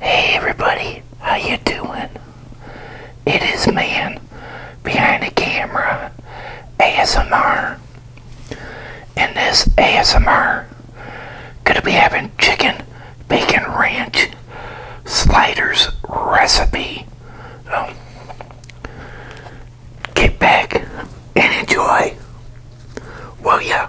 Hey everybody, how you doing? It is man behind the camera ASMR. and this ASMR, gonna be having chicken bacon ranch sliders recipe. So um, get back and enjoy. Will ya?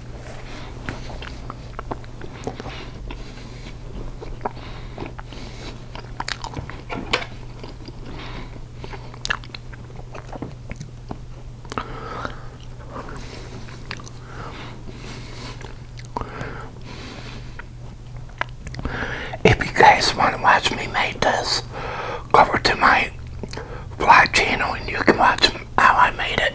If you guys want to watch me make this, go over to my vlog channel and you can watch how I made it.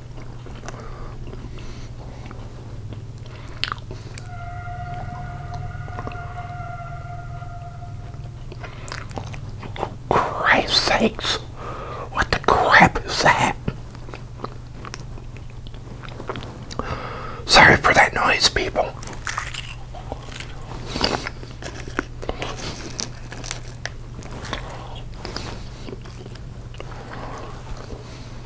Christ's sakes, what the crap is that? Sorry for that noise, people.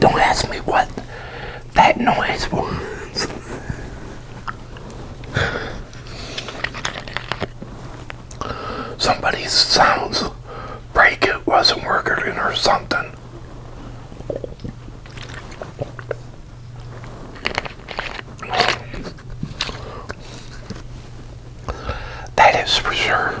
Don't ask me what that noise was. Somebody's sounds break it wasn't working or something. That is for sure.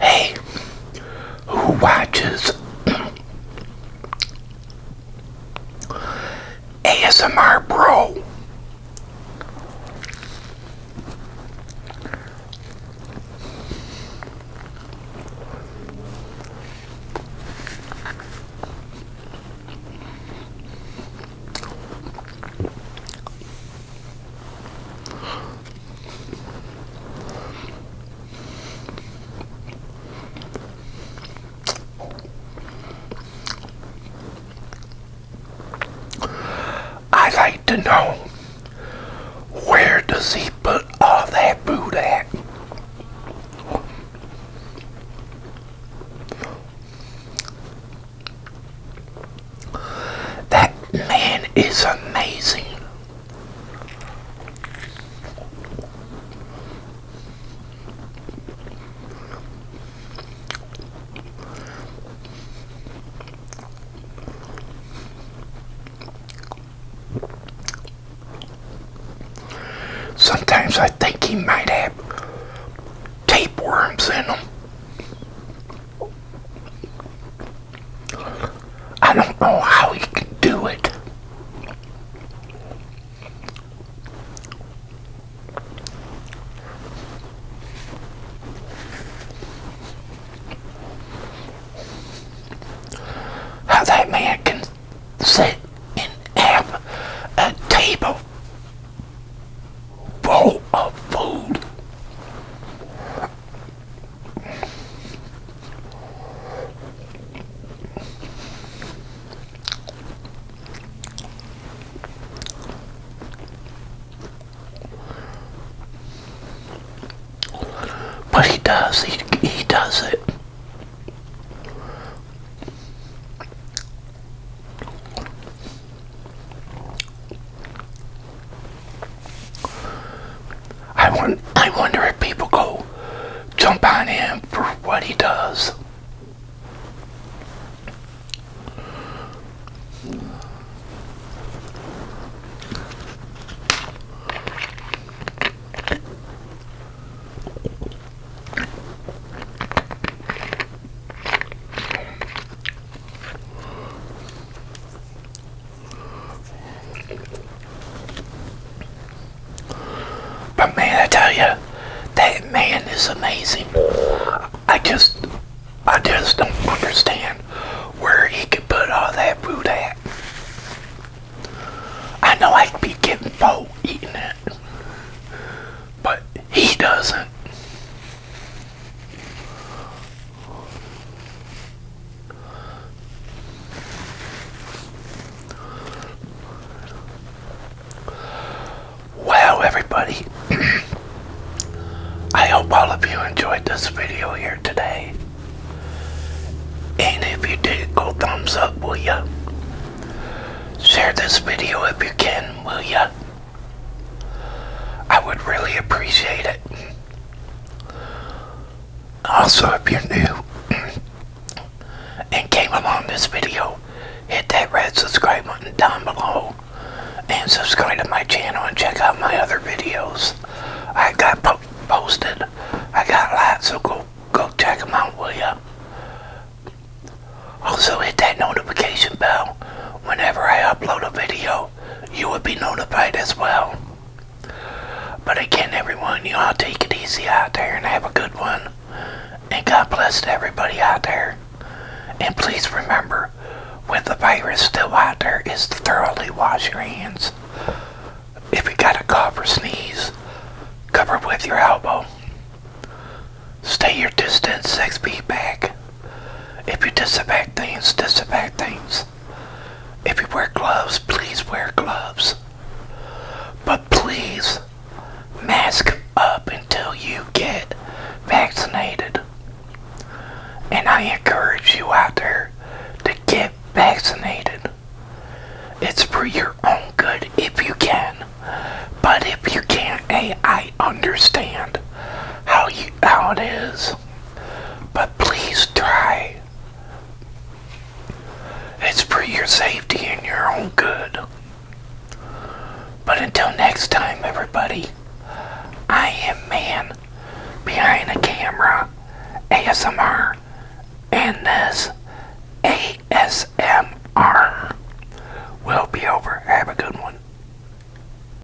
Hey, who watches ASMR Bro? I like to know where does he put all that food at? That man is amazing. Sometimes I think he might have tapeworms in him. I don't know how he can do it. How that man can sit and have a table bowl of food. But he does, he, he does it. I, won I wonder if people go jump on him for what he does. But man, I tell you, that man is amazing. I just, I just don't understand where he could put all that food at. I know I'd be getting full eating it, but he doesn't. Wow, everybody, I hope all of you enjoyed this video here today. And if you did, go thumbs up, will ya? Share this video if you can, will ya? I would really appreciate it. Also, if you're new and came along this video, hit that red subscribe button down below and subscribe to my channel and check out my other videos. I got posted. I got lots, so go, go check them out, will ya? Also, hit that notification bell whenever I upload a video you will be notified as well. But again, everyone, you all take it easy out there and have a good one. And God bless everybody out there. And please remember, with the virus still out there, is to thoroughly wash your hands. If you got a cough or sneeze, cover with your elbow. Stay your distance six feet back. If you disinfect things, disinfect things. If you wear gloves, please wear gloves. But please mask up until you get vaccinated. And I encourage you out there to get vaccinated. It's for your own good if you can. But if you can't, hey, I understand how you how it is. But please try. It's for your safety and your own good. But until next time, everybody, I am Man Behind the Camera ASMR, and this ASMR will be over. Have a good one.